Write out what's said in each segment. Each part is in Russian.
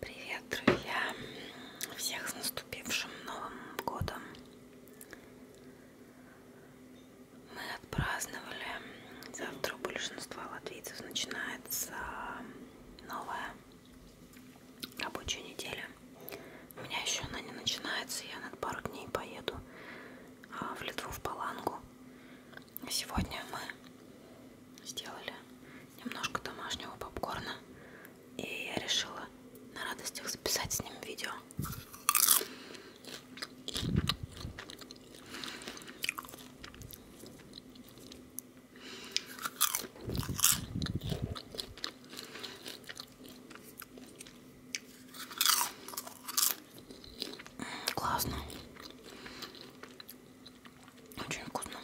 Привет, друзья! Всех с наступившим Новым годом! Мы отпраздновали. Завтра у большинства латвийцев начинается новая рабочая неделя. У меня еще она не начинается, я на пару дней поеду а, в Литву в Палангу. Сегодня мы сделали немножко домашнего попкорна, и я решила на радостях записать с ним видео. Классно. Очень вкусно.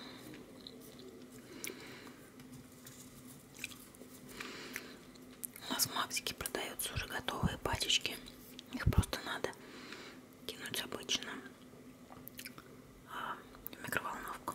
У нас в Максике продаются уже готовые пачечки. Их просто надо кинуть обычно а, в микроволновку.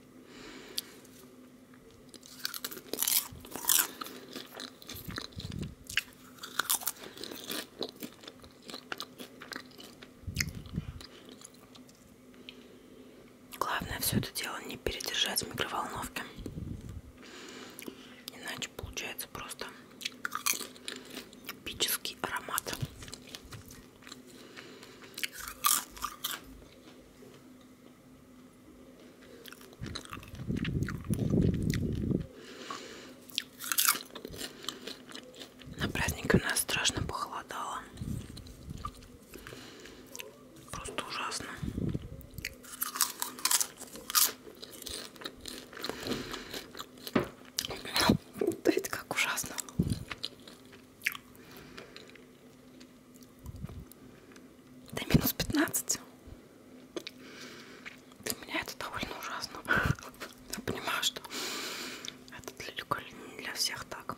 Главное все это дело не передержать в микроволновке. Иначе получается просто эпический аромат. На празднике у нас страшно похолодало. Просто ужасно. Смотрите, как ужасно. Да минус 15. Для меня это довольно ужасно. Я понимаю, что это далеко не для всех так.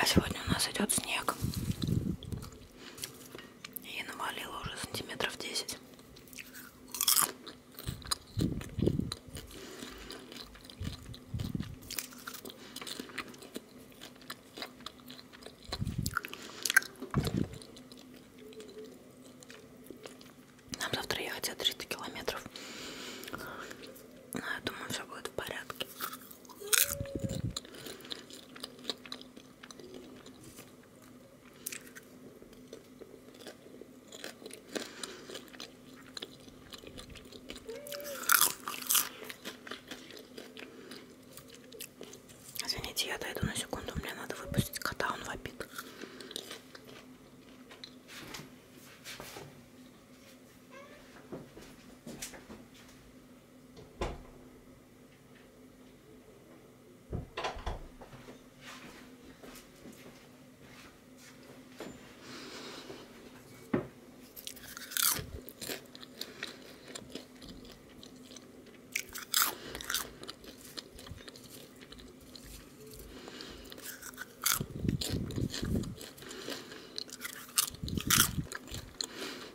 А сегодня у нас идет снег и навалила уже сантиметров 10. Нам завтра ехать 300 километров. Но ну, я думаю, все будет в порядке. Извините, я дойду на секунду, мне надо выпустить кота, он вопит.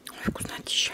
Ой, вкуснотища.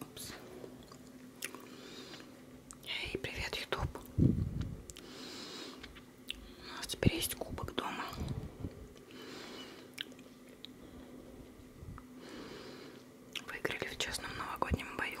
Упс. Эй, привет, Ютуб. У нас теперь есть кубок дома. Выиграли в честном новогоднем бою.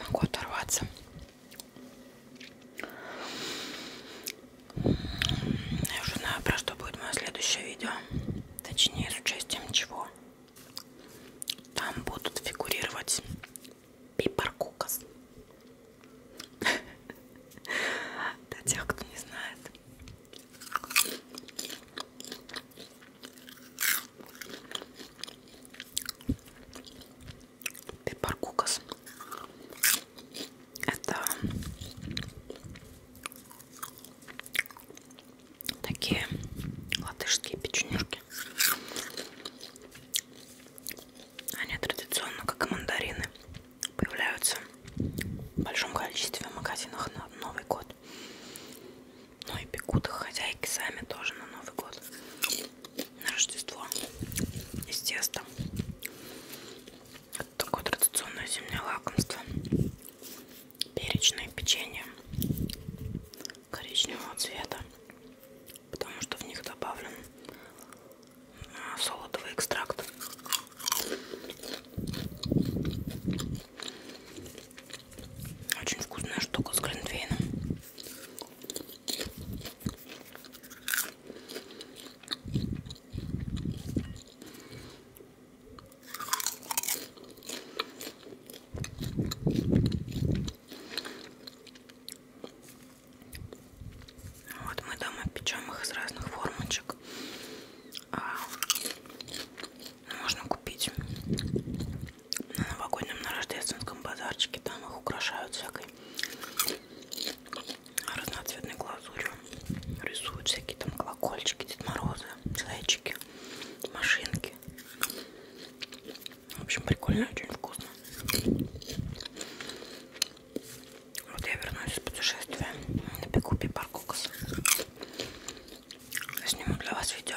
Могу оторваться. Я уже знаю, про что будет мое следующее видео. Точнее, с участием чего. Там будут фигурировать пепаркукас. Для тех, кто не знает. Пепаркукас. Это такие латышские печенюшки они традиционно, как и мандарины, появляются в большом количестве в магазинах на Новый год. Ну и пекут их хозяйки сами тоже на Новый год. На Рождество из теста. Это такое традиционное зимнее лакомство. Перечное печенье коричневого цвета, потому что в них добавлен а, солодовый экстракт. Очень вкусная штука с глинтвейном. Вот мы дома печем их из разных формочек. А, ну, можно купить на новогоднем, на рождественском базарчике. Там их украшают всякой разноцветной глазурью. Рисуют всякие там колокольчики, Дед Морозы, зайчики, машинки. В общем, прикольно, очень вкусно. Вот я вернулась из путешествия. Напеку пипаркокс. Сниму для вас видео.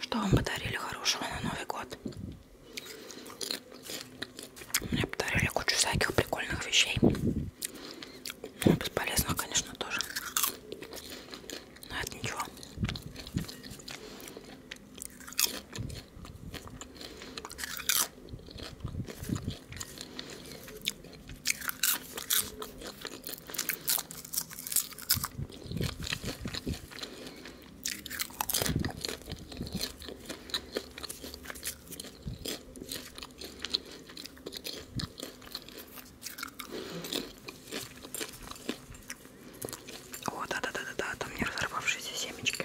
Что вам подарили хорошего на Новый год? Мне подарили кучу всяких прикольных вещей. Ну, бесполезных, конечно, тоже. Но это ничего. О, да-да-да-да, там не разорвавшиеся семечки.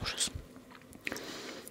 Ужас.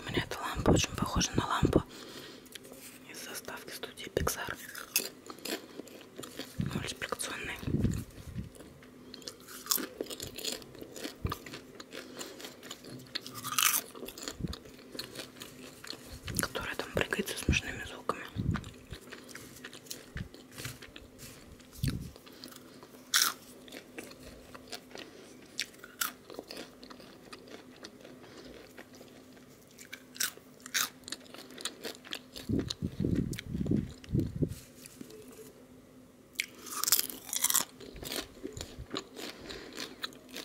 У меня эта лампа очень похожа на лампу из заставки студии Pixar. Мультипликационный которая там прыгает со смешными звуками.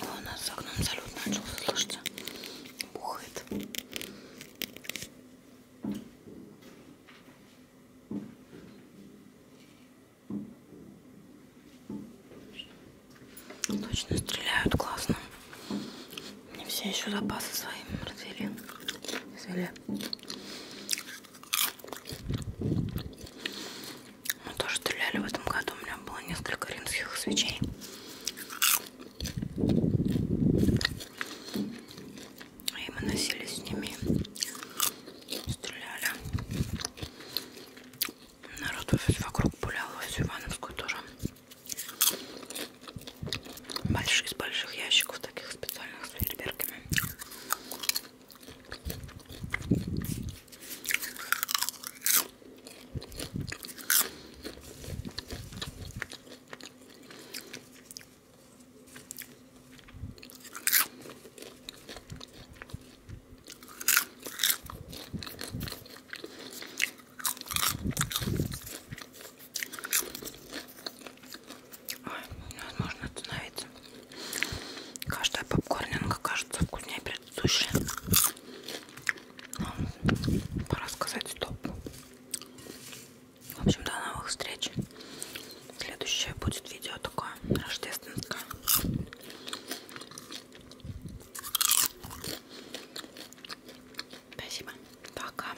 О, у нас за окном салют начался, слышите? Бухает. Точно стреляют классно. Мне все еще запасы своим развели. Развели. Мы тоже стреляли в этом году. У меня было несколько римских свечей. И мы носили с ними. Стреляли. Народ вокруг пулял во всю Ивановскую тоже. Больших, из больших ящиков таких специальных с фейерверками. Ой, невозможно ну, остановиться. Каждая попкорнинка кажется вкуснее предыдущей. Но ну, пора сказать стоп. В общем, до новых встреч. Следующее будет видео такое рождественское. Спасибо. Пока.